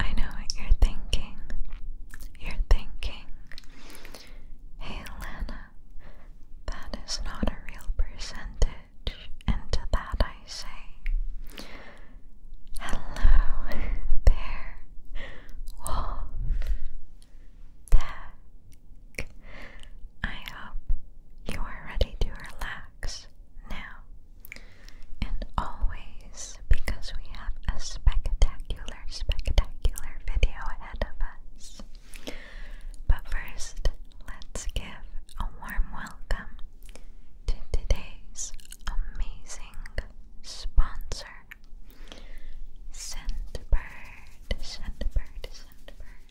I know what you're thinking. You're thinking, hey Lana, that is not a real percentage, and to that I say, hello there, Wolf Tech. I hope you are ready to relax now. And always, because we have a spectacular, spectacular video ahead of us. But first, let's give a warm welcome to today's amazing sponsor Scentbird, Scentbird, Scentbird.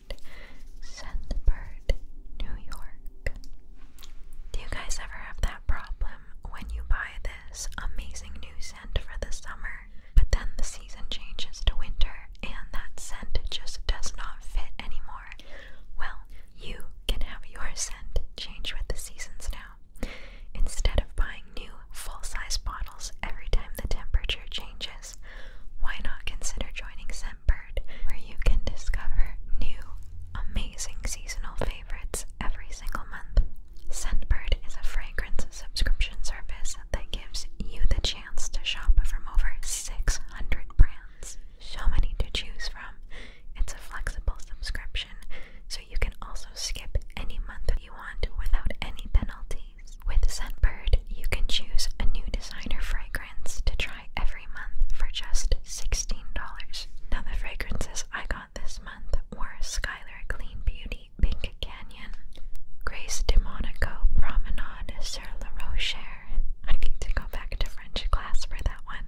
Sandburg, New York. Do you guys ever have that problem when you buy this amazing new scent for the summer, but then the season changes to winter and that scent just does not fit anymore? Well, you can have your scent change with the seasons now. Instead of buying new full size bottles every time the temperature changes, why not consider joining Scentbird? where you can discover new, amazing seasonal favorites every single month. Scentbird is a fragrance subscription service that gives you the chance to shop from over 600 brands. So many to choose from. It's a flexible subscription, so you can also skip any month you want without any penalties. With Scentbird, you can choose a new designer fragrance to try every month for just $16. Now, the fragrances I got this month were Skylar Clean Beauty Pink Canyon, Grace de Monaco Promenade Sir La Rocher. I need to go back to French class for that one.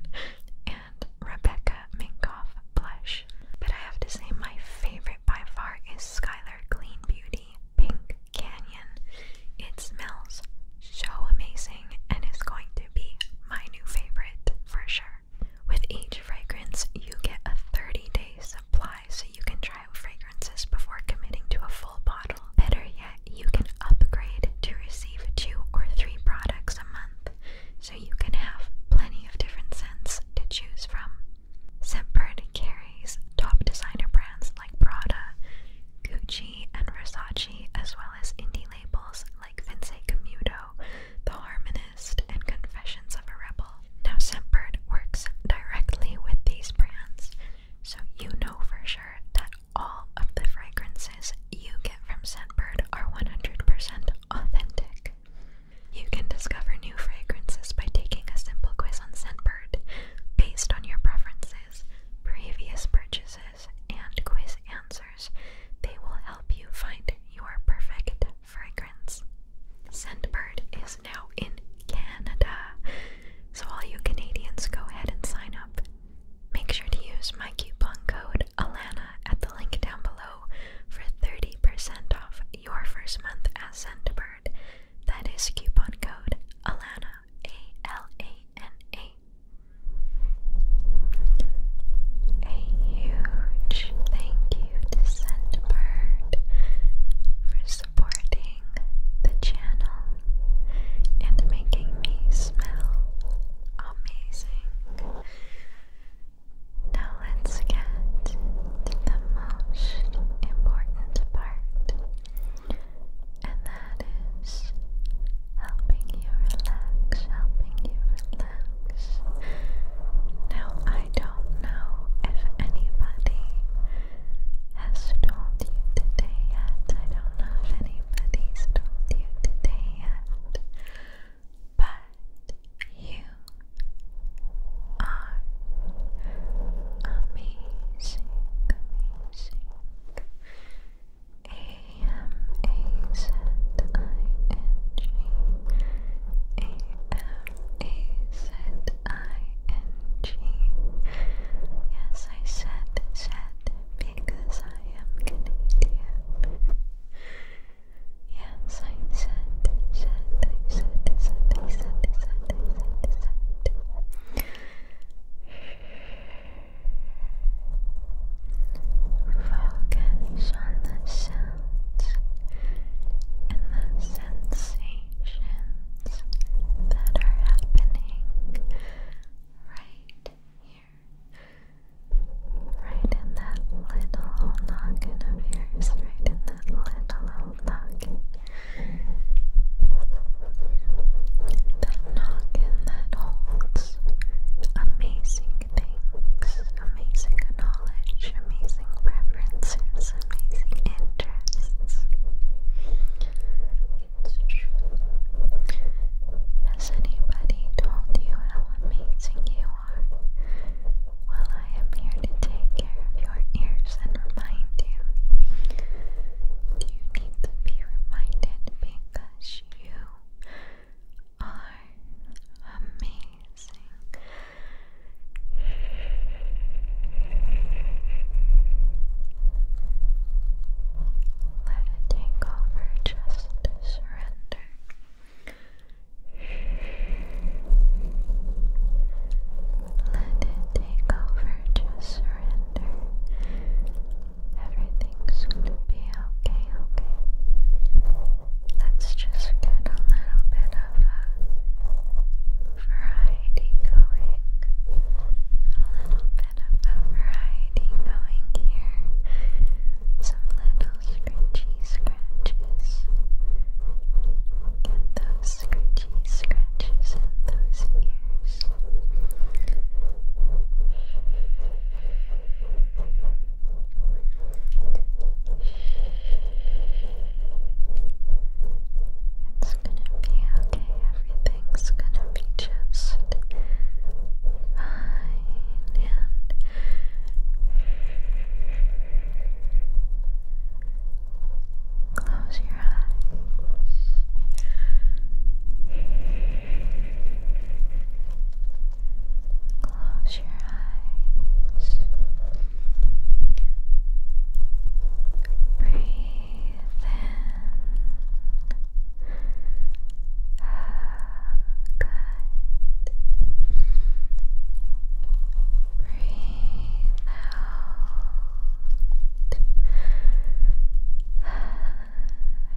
And Rebecca Minkoff Blush. But I have to say, my favorite by far is Skylar Clean Beauty Pink Canyon it smells so amazing and is going to be my new favorite for sure. With each fragrance, you get a 30 day supply so you can try out fragrances before committing to a full bottle. Better yet, you can upgrade to receive two or three products a month so you can have plenty of different scents to choose from. Scentbird carries top designer brands like Prada, Gucci and Versace, as well as indie labels like Vince Camuto, The Harmonist, and Confessions of a Rebel. Now, Scentbird works directly with these brands, so you know for sure that all of the fragrances you get from Scentbird are 100% authentic. You can discover new fragrances by taking a simple quiz on Scentbird based on your preferences, previous purchases, and quiz answers, they will help you find your perfect fragrance. Scentbird is now in Canada, so all you Canadians go ahead and sign up. Make sure to use my coupon code Alana at the link down below for 30% off your first month as Scentbird. That is coupon code Alana, A L A N A a huge thank you to Scentbird for supporting the channel and making me smell amazing. Now let's get to the most important part and that is helping you relax, helping you relax. Now, I don't know if anybody has told you today yet. I don't know if anybody's told you today yet, but you are amazing, amazing. Yes, I said said because I am Canadian. Yes, I said said I said said I said said I said said. Focus on the sounds and the sensations that are happening right here. Right in that little old of yours, right in that little old That noggin that holds things, amazing things, amazing knowledge, amazing preferences, amazing interests. It's true. Has anybody told you how amazing you are? Well, I am here to take care of your ears and remind you. You need to be reminded because you are amazing. Let it take over, just surrender. Let it take over, just surrender. Everything's gonna be okay, okay. Let's just get a little bit of a variety going. A little bit of a variety going here. Some little scratchy scratches. Get those scratchy scratches in those ears. Shh. It's gonna be okay, everything's gonna be just fine and Close your eyes. Close your eyes. Breathe in. Breathe out.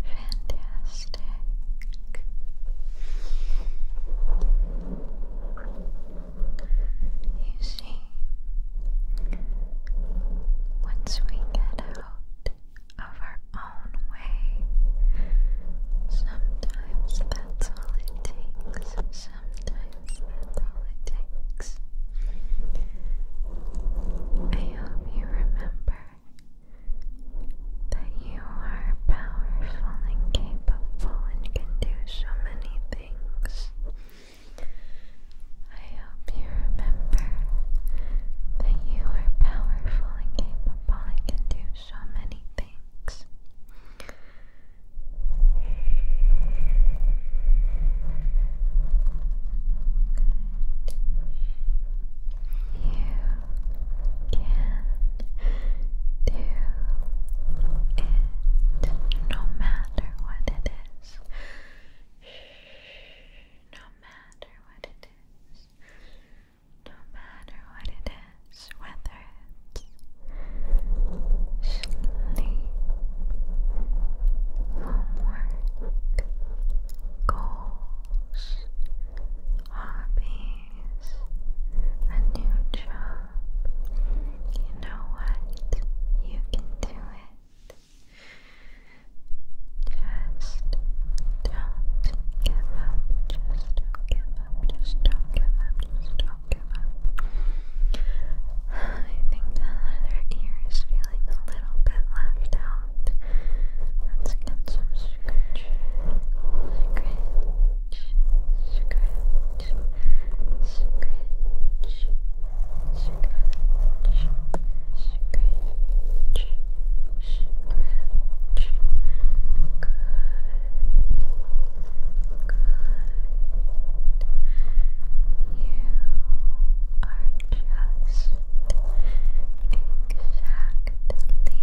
Fantastic. You see, once we get out of our own way, sometimes that's all it takes. Sometimes that's all it takes. I hope you remember that you are powerful and capable and can do so many things. I hope you remember that you are powerful and capable and can do so many things. You can do it no matter what it is. No matter what it is. No matter what it is, whether it's sleep, homework, goals, hobbies, a new job. You know what? You can do it. Just don't give up. Just don't give up. Just don't give up. Just don't give up. I think that other ear is feeling a little bit left out out. Let's get some scratch, scratch, scratch, scratch, scratch, scratch. Scratch. Good. Good. You are just exactly where you need to be right now. You are just exactly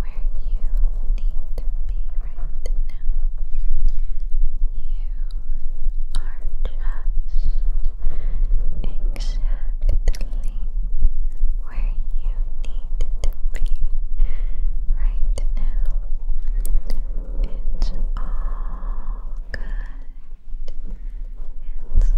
where you need to be right now. It's all good. It's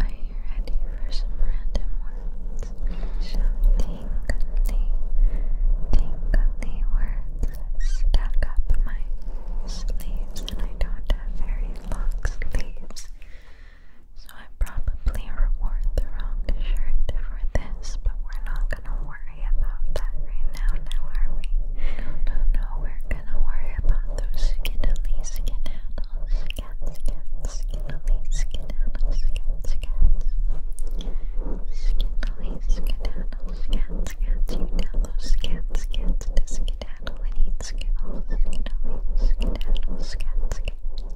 Are you ready for some random words? Some tingly, tingly words stack up my sleeves, and I don't have very long sleeves, so I probably wore the wrong shirt for this, but we're not gonna worry about that right now, are we? No, no, we're gonna worry about those skiddly skedaddles, scat, scat, skiddly skedaddles, scat, scat, skiddly skedaddles, scat, cats, you dallows, skedaddle and eat skittles, skittle, skedaddle, scat, skittle.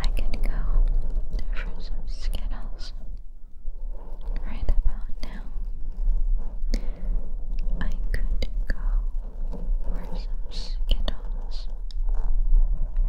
I could go for some skittles right about now. I could go for some skittles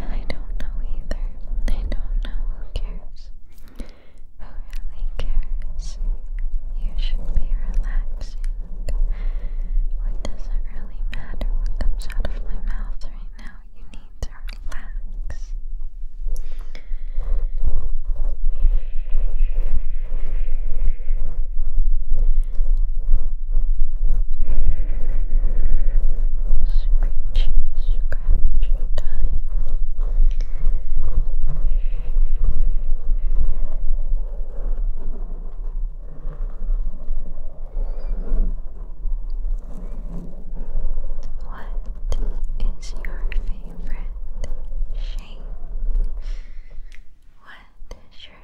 I don't know either. I don't know who cares. Who cares? You should be relaxing. What does it really matter what comes out of my mouth right now? You need to relax. Scratchy, scratchy time. What is your favorite shape? What is your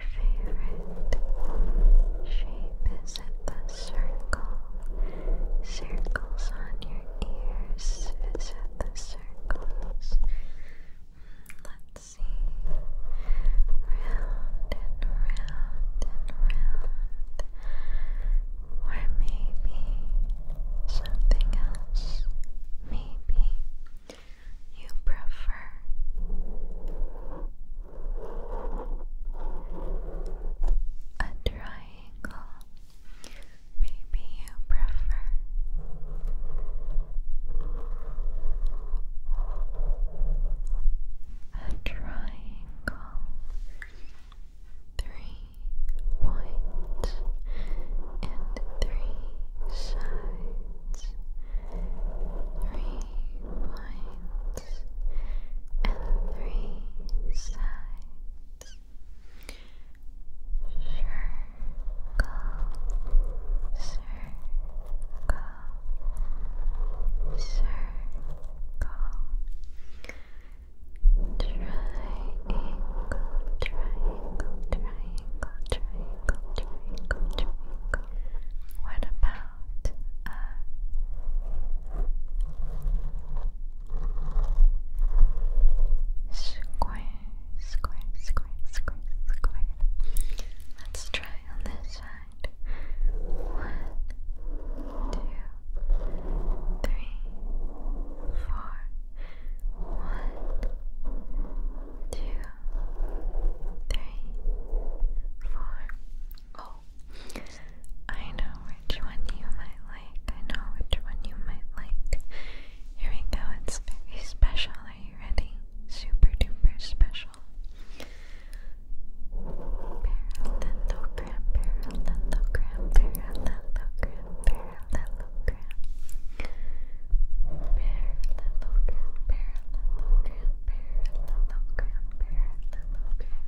favorite shape? at the circle, circles on your ears, is at the circles. Let's see, round and round and round, or maybe something else. Maybe you prefer a triangle. Maybe you prefer a triangle. Three points and three sides. Three points and three sides. Circle, circle, circle. Triangle, triangle, triangle, triangle, triangle, triangle. What about about a square, square, square, square, square. Let's try on this side. One, two, three, four. One, two, three, four. Oh, I know which one you might like. I know which one you might like. Here we go. It's very special. Are you ready? Super duper special. Parallelogram, parallelogram, parallelogram, parallelogram. Parallelogram, parallelogram, parallelogram, parallelogram.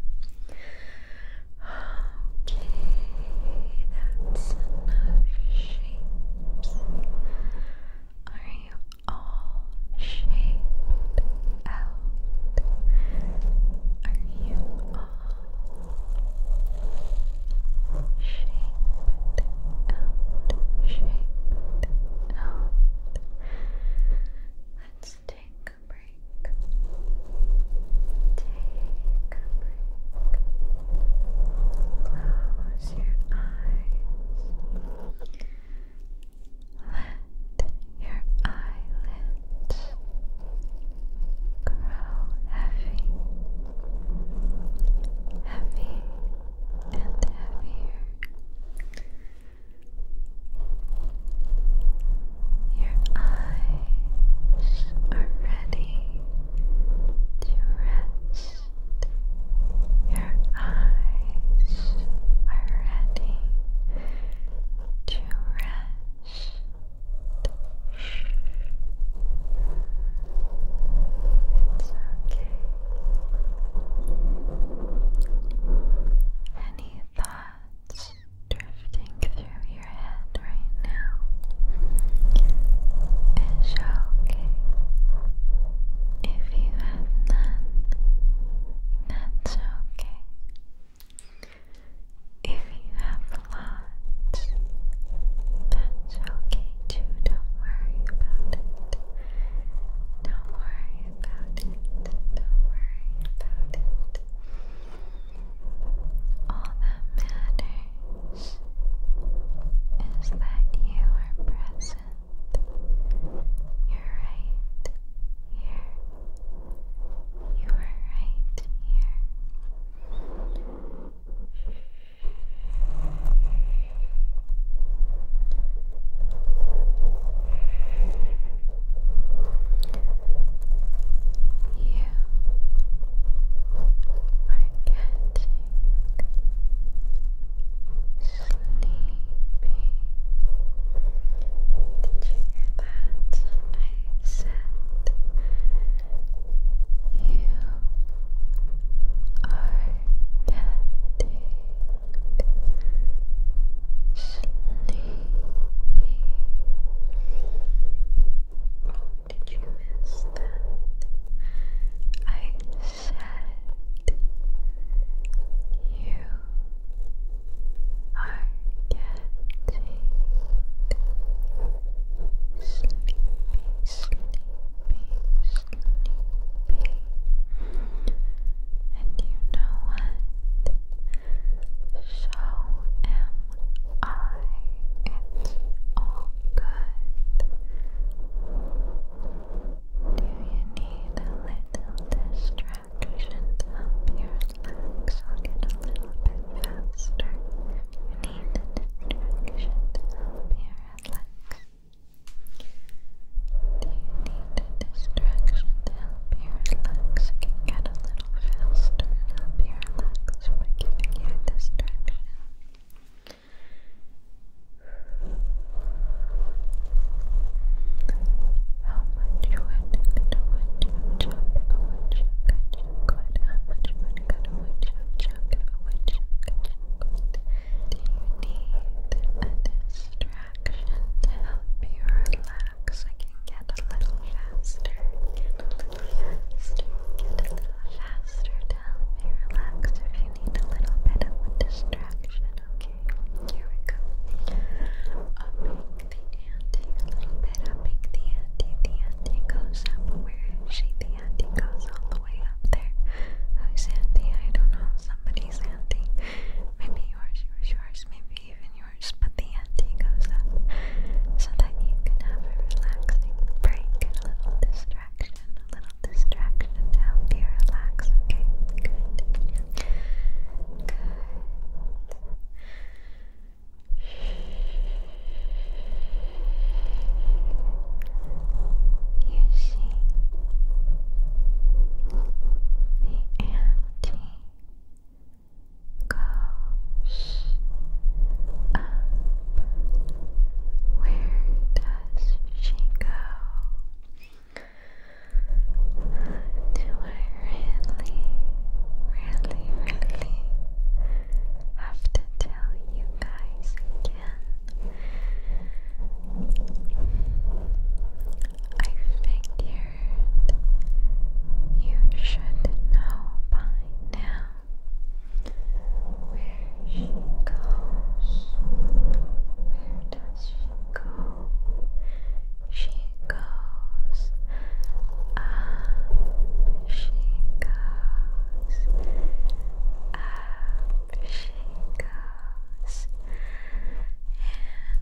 Okay, that's enough shapes. Are you all shaped out? Are you all shaped out? Shaped out. Let's take a break. Take a break. Close your eyes. Let your eyelids grow heavy, heavy, and heavier. Your eyes are ready to rest. Your eyes are ready to rest. It's okay. Any thoughts drifting through your head right now is okay. If you have none, that's okay. If you have lots, that's okay too. Don't worry about it. Don't worry about Don't worry about it. All that matters is that you are present. You're right here. You are right here. You are getting sleepy. Did you hear that? I said you are getting sleepy. Oh, did you miss that? I said you are getting sleepy, sleepy, sleepy. And you know what? So am I. It's all good. Do you need a little distraction to help you relax? I'll get a little bit faster. you need distraction to help you relax a distraction to help you relax. get a little faster and help you relax by giving you distraction. How much wood could a woodchuck chuck if a woodchuck could chuck How much wood could a woodchuck chuck if a woodchuck Do you need a distraction to help you relax? relax. I can get a little faster. Get a little faster. Get a little faster. Tell me, relax if you need a little bit of distraction. Okay, here we go. Upping the ante a little bit. Upping the ante. The ante goes up. Where is she? The ante goes all the way up there. Who's ante? I don't know. Somebody's ante. Maybe yours, yours, yours. Maybe even yours yours, but the ante goes up so that you can have a relaxing break a little distraction, a little distraction to help you relax. Okay, good. Good. You see, the ante goes up. Where does she go? Do I really, really, really have to tell you guys again? I figured you should know by now where she goes. Where does she go? She goes up, she goes up, she goes.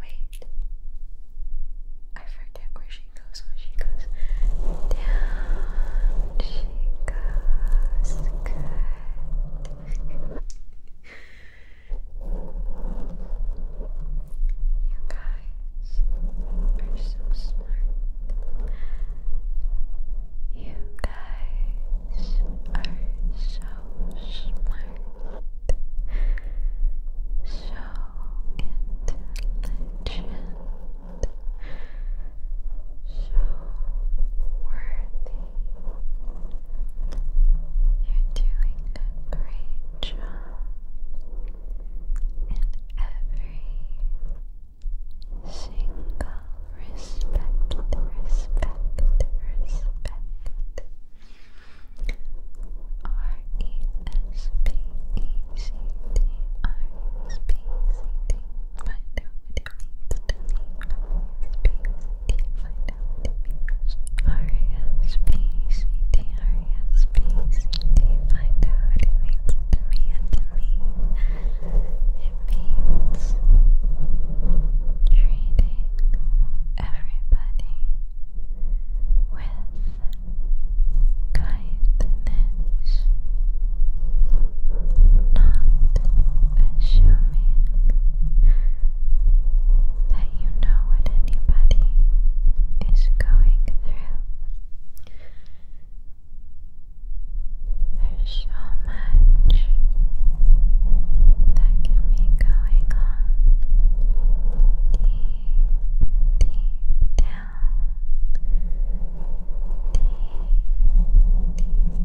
Wait. I forget where she goes Where she goes down. She goes good. you guys are so smart. You guys are so smart so intelligent, so worthy. You're doing a great job in every single respect, respect, respect. R E S P E C T R E S P C T. Find out it means to me. R E S P C T. Find out it means. to me. It means treating everybody with kindness, not assuming that you know what anybody is going through. There's so much that can be going on deep down, Yes, all the way under the surface, under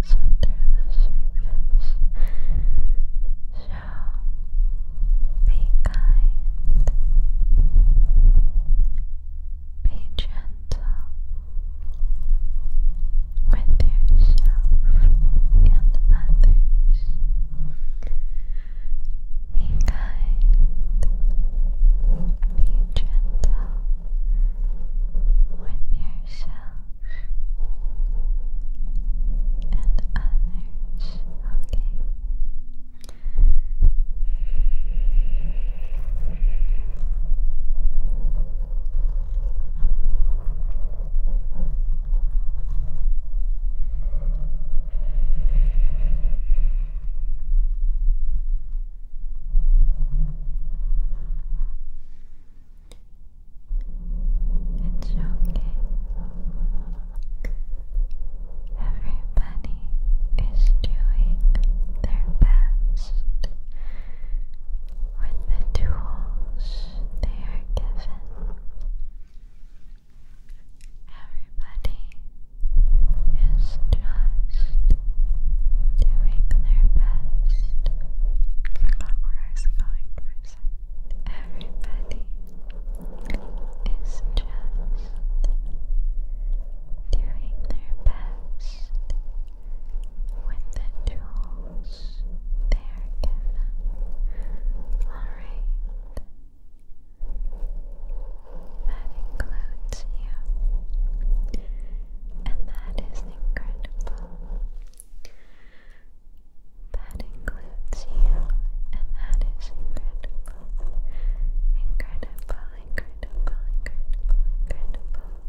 the surface, under the surface. Be kind. Be gentle with yourself and others. Be kind. Be gentle with yourself and others. Okay. It's Everybody is doing their best with the tools they are given. Everybody is just doing their best. I going for everybody is just doing their best with the tools they are given. Alright. That includes you. And that is incredible. That includes you, and that is incredible. Incredible, incredible, incredible, incredible.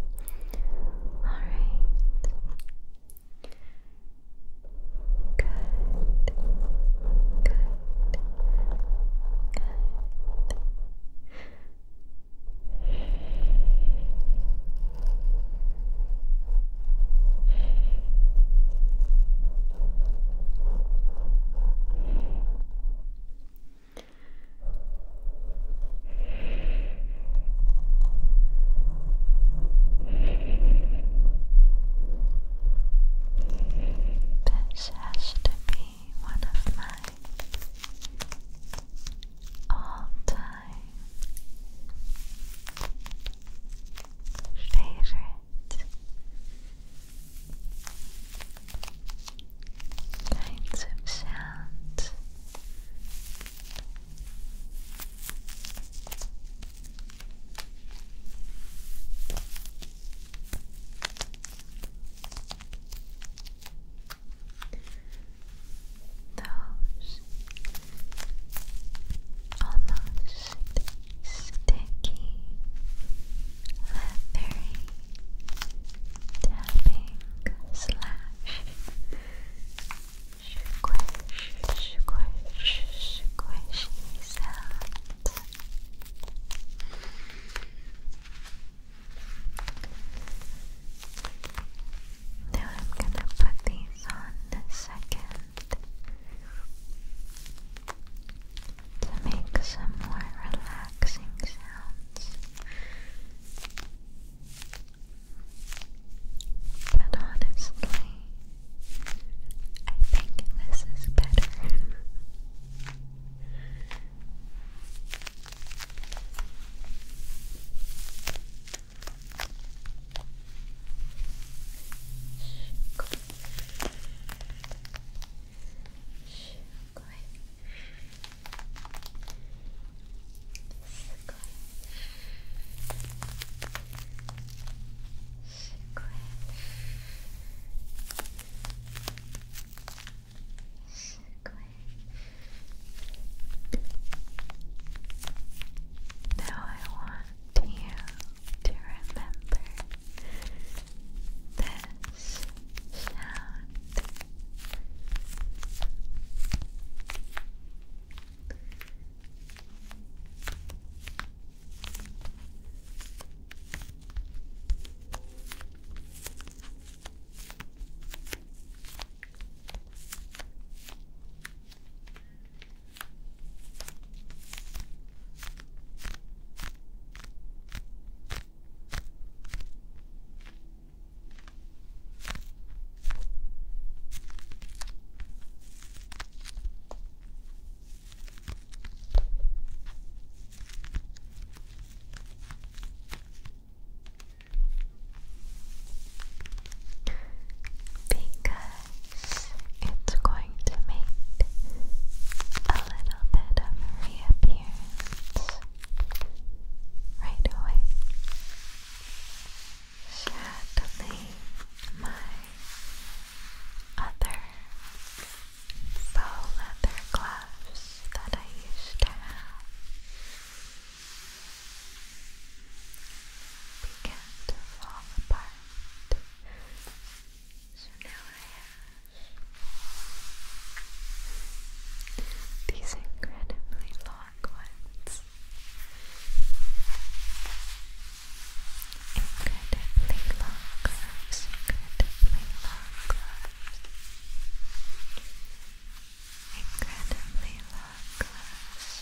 Alright. Good. Good. Good. This has to be one of my all time favorite kinds of sounds. Those almost sticky, leathery, tapping slash squish, squish, squishy sounds. Now I'm going to put these on the second to make some more relaxing sounds. But honestly, I think this is better. Now I want you to remember this sound. Be good it's going to make a little bit of a right away, shattering my other faux leather gloves that I used to have. Began to fall apart so now I have these incredibly long gloves. Incredibly long gloves, incredibly long gloves. Incredibly long gloves.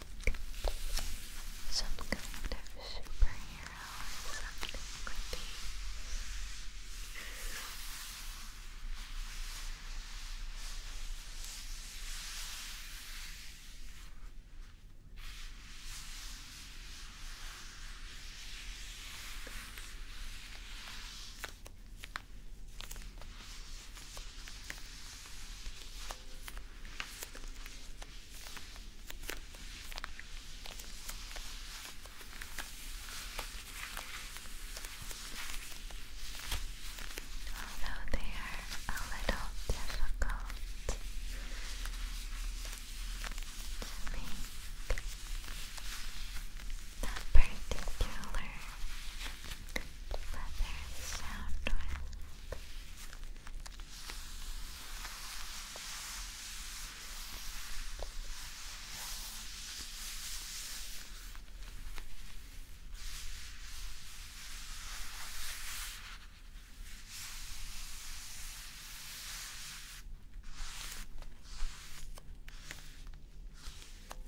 some kind of superhero or something with these. Although they are a little difficult to make that particular leather sound with.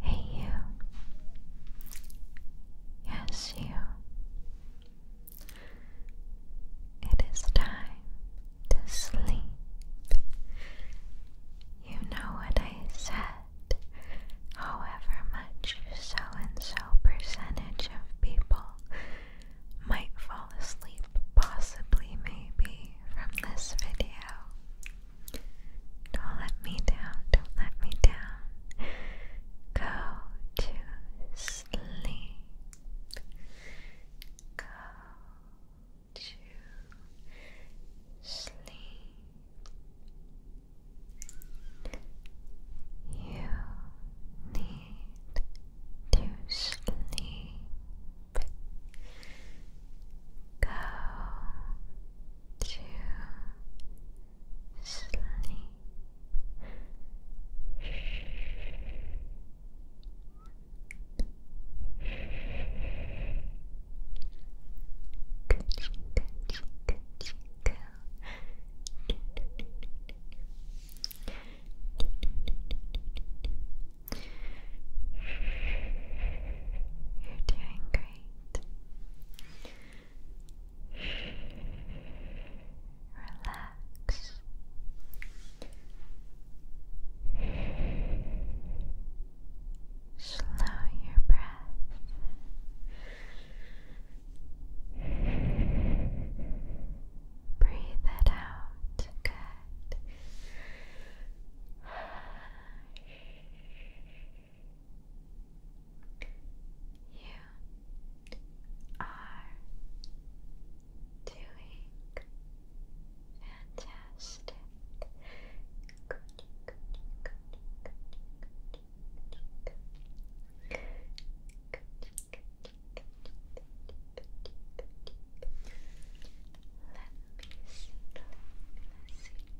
Hey, you. Yes, you. It is time to sleep. You know what I said. However much so and so percentage of people might fall asleep, possibly, maybe, from this video. Don't let me down, don't let me down. Go to sleep. Go to sleep. You need to sleep. Go to sleep. You're doing great. Relax. Slow your breath. Breathe it out. Good you are doing fantastic. Let me see, let me see.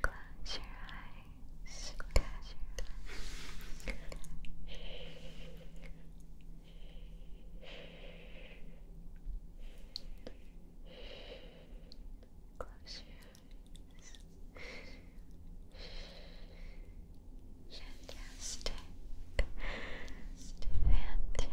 Close your eyes. Close your eyes. Fantastic. Fantastic. Fantastic.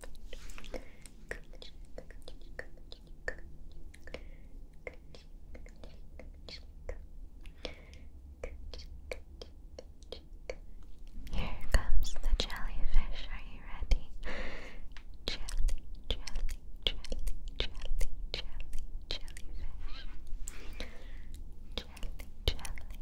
Here comes the jellyfish. Are you ready? Jelly, jelly, jelly, jelly, jelly, jellyfish. Jelly, jelly,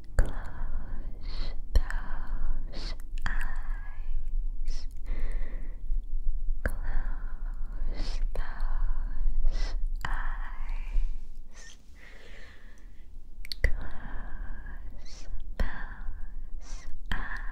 Close those eyes. Close those eyes. Close those eyes. Close those eyes.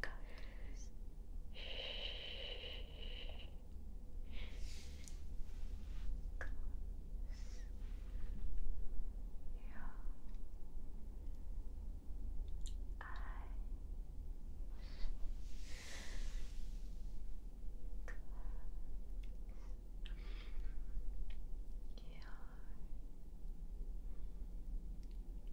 colors. Close your eyes. Close your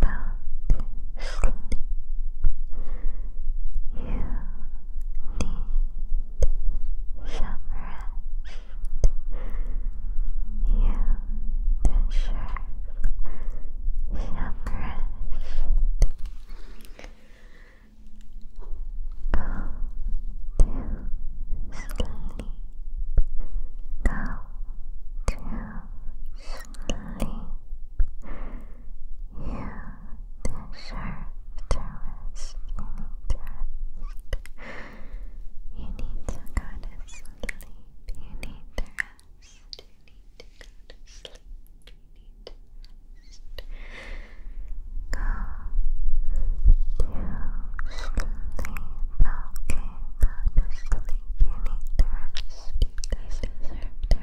about You need some rest. You deserve some rest. Go to sleep. Go to sleep. You deserve to rest. You need to go to sleep. You need rest. You need to sleep. You need rest. Go to sleep. Okay, go to sleep. You need rest. You deserve to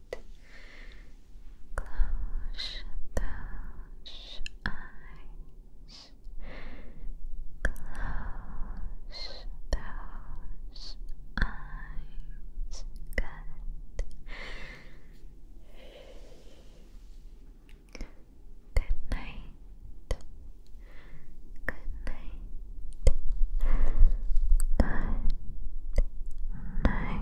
Close those eyes. Close those eyes. Good. night. Good night. Good night. Good night.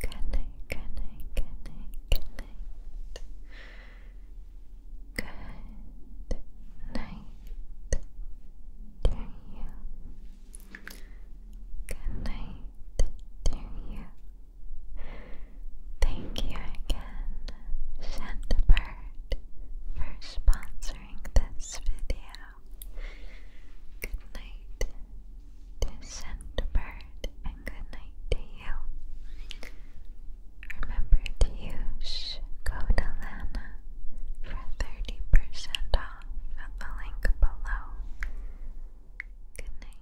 Good night, good night, good night, good night. Good night to you. Good night to you. Thank you again, Santa for sponsoring this video good night to and good night to you. Remember to use code Alana for 30% off at the link below. Good night.